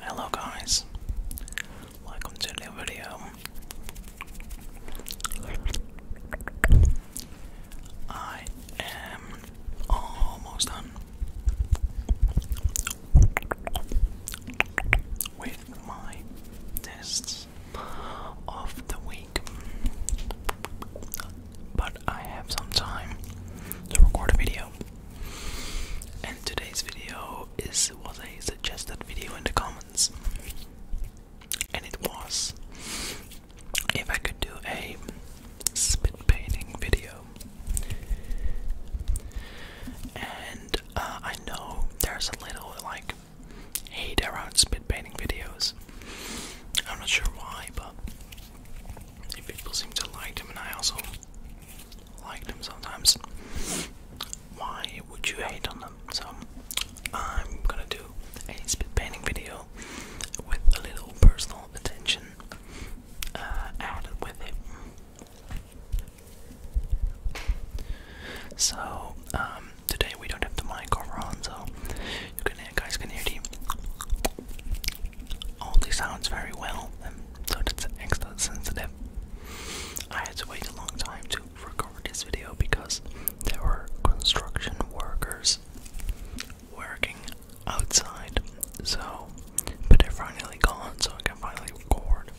Hello guys, welcome to new video. I am almost done with my tests of the week. But I have some time to record a video. And today's video is was a suggested video in the comments. And it was if I could do a spit painting video. And uh, I know there's a little like hate around spit painting videos. I'm not sure why, but people seem to like them, and I also like them sometimes. Why would you hate on them? So I'm gonna do a spit painting video with a little personal attention uh, added with it. So, um, today we don't have the mic over on, so you guys can hear the all these sounds very well, and so it's extra sensitive. I had to wait a long time to record this video because there were construction workers working outside. So, but they're finally gone, so I can finally record.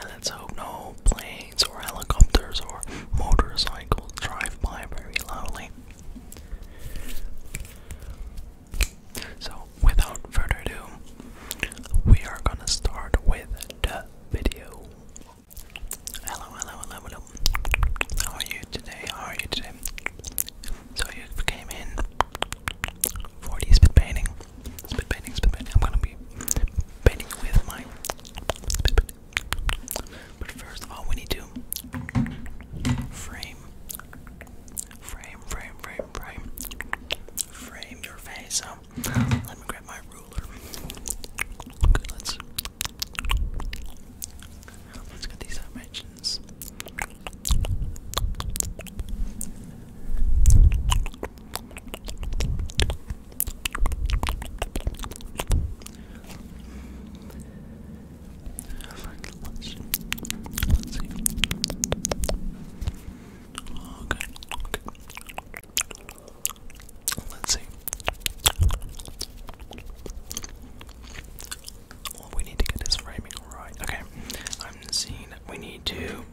And let's hope no planes or helicopters or motorcycles drive by very loudly. So, without further ado, we are gonna start with the video. Hello, hello, hello, hello. How are you today? How are you today? So, you came in for the spit painting. Spit painting, spit painting. I'm gonna be painting with my but first, all we need to frame, frame, frame, frame, frame, frame your face. So let me grab my ruler. let's let's get these dimensions. Let's see. Okay. Let's see. we need to get this framing right. Okay. I'm seeing we need to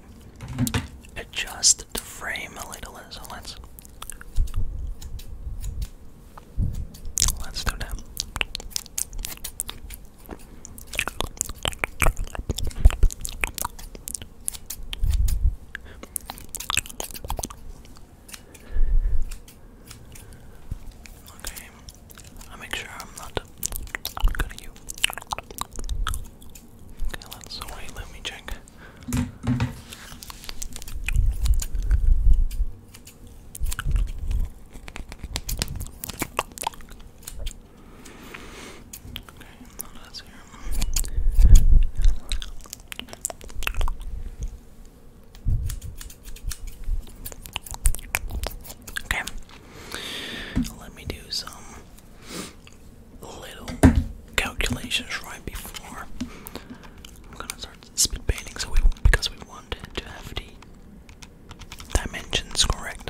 adjust adjust frame a little, so let's let's do that. Okay, i make sure I'm not good at you. Okay, let's wait, let me check none of Okay, let me do some little calculations right before. I'm gonna start speed painting so we because we want to have the dimensions correct.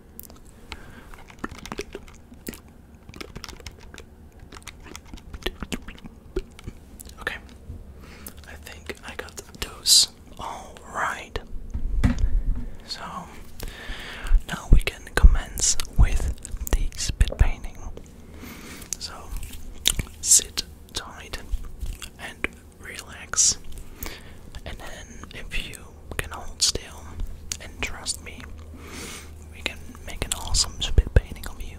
Okay, I think I got the dose. Alright, so now we can commence with the spit painting. So sit tight and relax. And then, if you can hold still and trust me, we can make an awesome spit painting of you.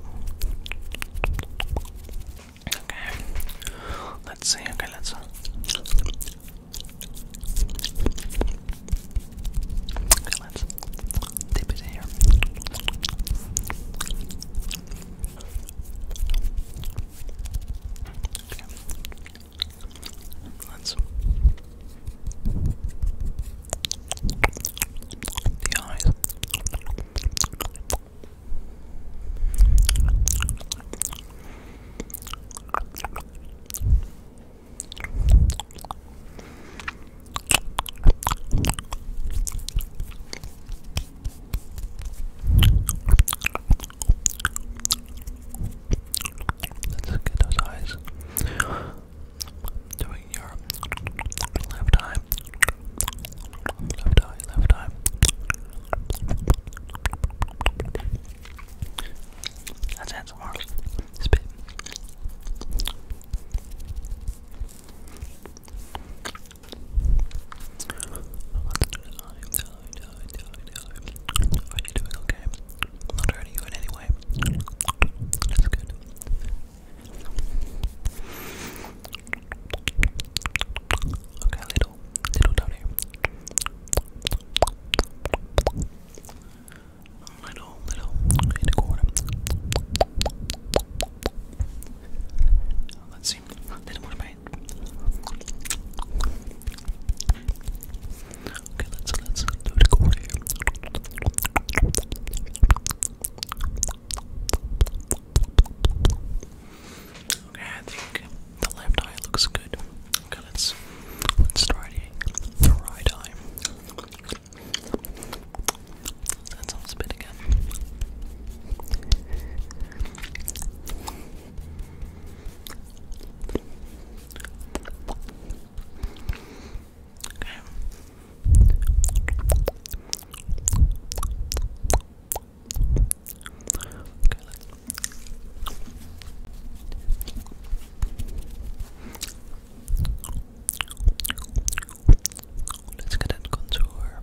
Okay, let's see. Okay, let's. Okay, let's dip it here. Let's. The eyes. Let's get those eyes. Doing your left eye. Left eye, left eye. That's handsome arms. Spit are you doing? okay? I'm not hurting you in any way. That's good. Okay, little, little down here. Little, little, in the corner. Let's see, a little more pain. Okay, let's let's do it over Okay, I think the left eye looks good. Okay, let's let's the, right eye. That sounds good again. Okay. Okay, let's Let's get that contour.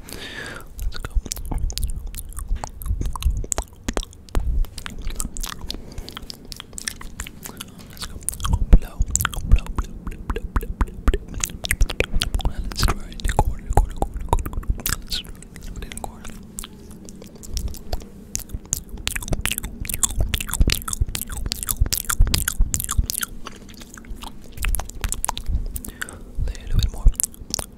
Let's go. Let's go. Oh, blow. Oh, blow, blow, blow, blow, blow, blow, blow. Let's try it. Record, record, record, record, record. Let's try it. I'm gonna record. A little bit more. Okay.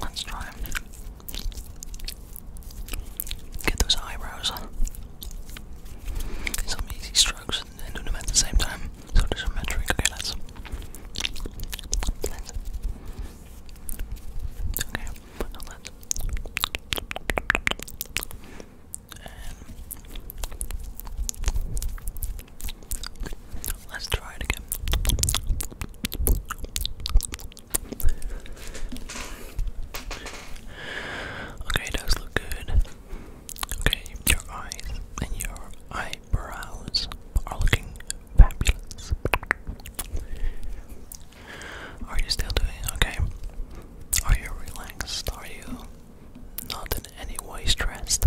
Let's try get those eyebrows. Some easy strokes and do them at the same time. So isometric. Okay, Let's. Okay, now let's. Um, let's try it again. Okay, it does look good. Okay, your eyes and your eyebrows are looking fabulous. Are you still doing okay? Are you relaxed? Are you not in any way stressed.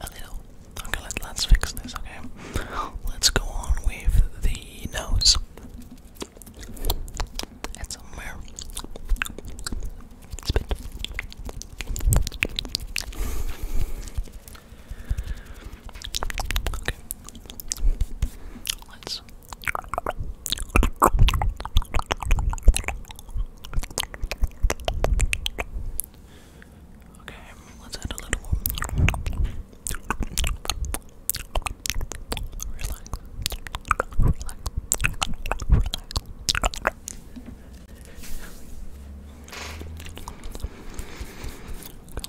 A little. Okay, let, us fix this, okay? Let's go on with the nose. And somewhere. Spit. Okay. Let's Okay, let's add a little more. Relax. Relax. Relax.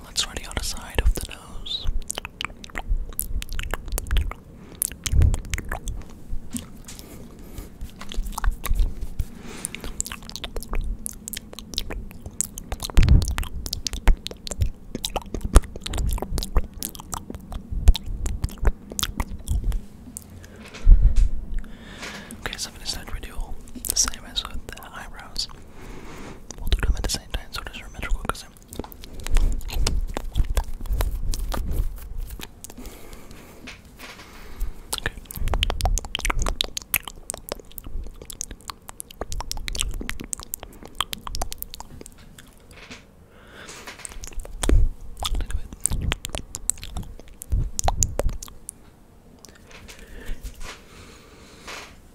Let's try the other side of the nose. Okay, so I'm gonna do the same as with the eyebrows. We'll do them at the same time so they're symmetrical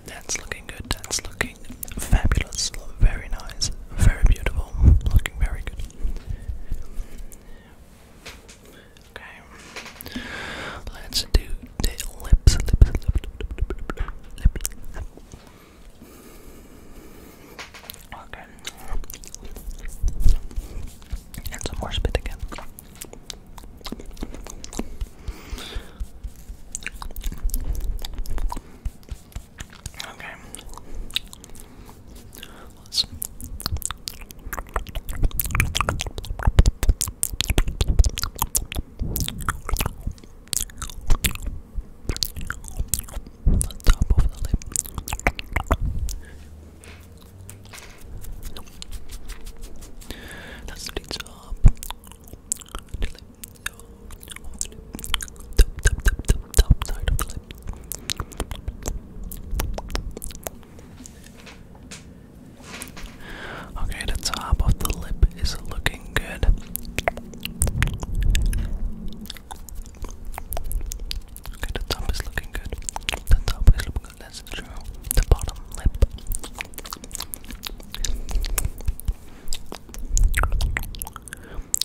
that's looking good. That's looking Great, fabulous, very nice, very beautiful, looking very good. Okay, let's do the lips. Okay, and some more spit again. Okay. Let's. The top of the lip. Nope. That's the The lip the Okay, the top of the lip is looking good. Okay, the top is looking good. The top is looking good, that's true. The bottom lip.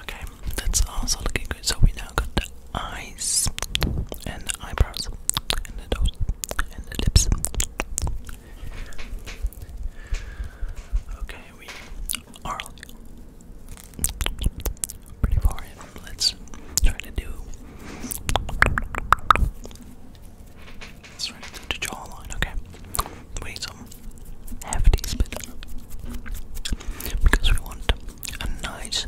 Okay, that's also looking good. So we now got the eyes and the eyebrows and the nose and the lips. Okay, we are pretty far in. Let's try to do. Let's to the jawline. Okay, we need some hefty spit because we want a nice,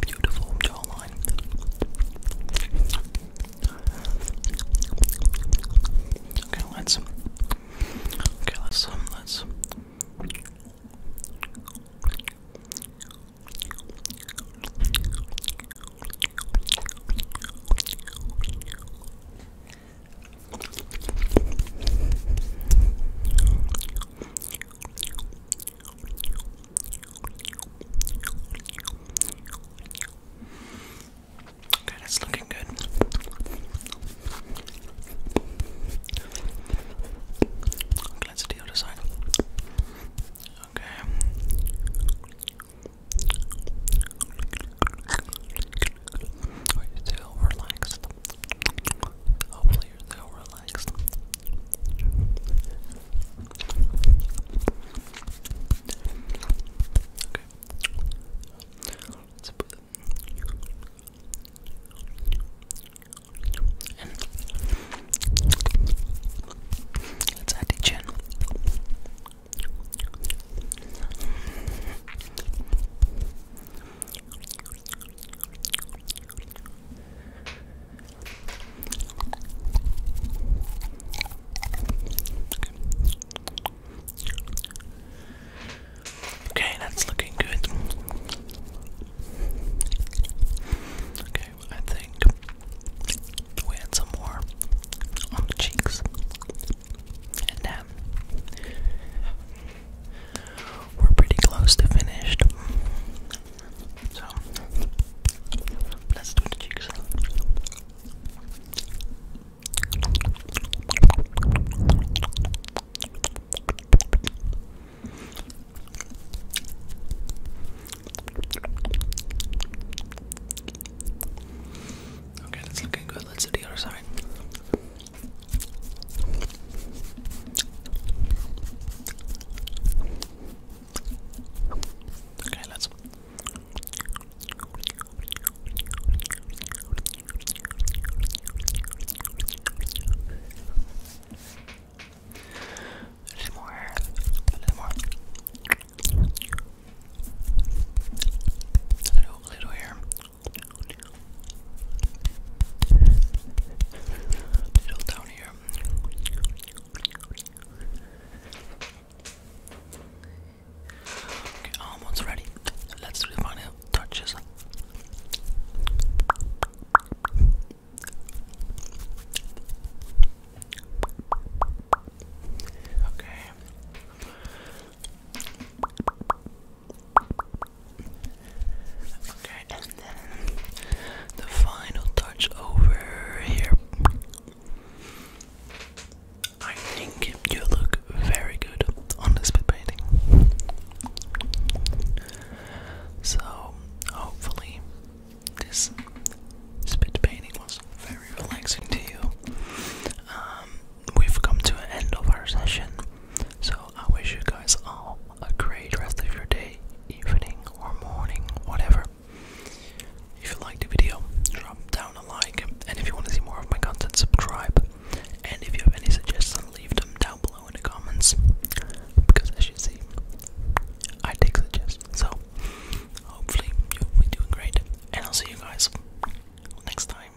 beautiful jawline. Okay, let's. Okay, let's um, let's. Okay, that's looking good. let's do the other side. Okay. Are you still relaxed? Hopefully, you're still relaxed. Okay. Let's put and let's add the chin. Okay, that's looking good. Okay, I think we add some more on the cheeks. And then um, we're pretty close to finished. So let's do the cheeks. Okay, that's looking good. Let's do the other side. Okay, let's. A little more, a little more. A little, little here. Little down here. Okay, almost ready. Let's do the final touches. Okay. Okay, and then the final touch over here. I think you look very good on this bit painting. So, hopefully, this spit painting was very relaxing to you. Um, we've come to an end of our session. So I wish you guys all a great rest of your day, evening, or morning, whatever. If you liked the video, drop down a like, and if you want to see more of my content, subscribe. And if you have any suggestions, leave them down below in the comments. Because as you see, I take suggestions. So hopefully you'll be doing great, and I'll see you guys next time.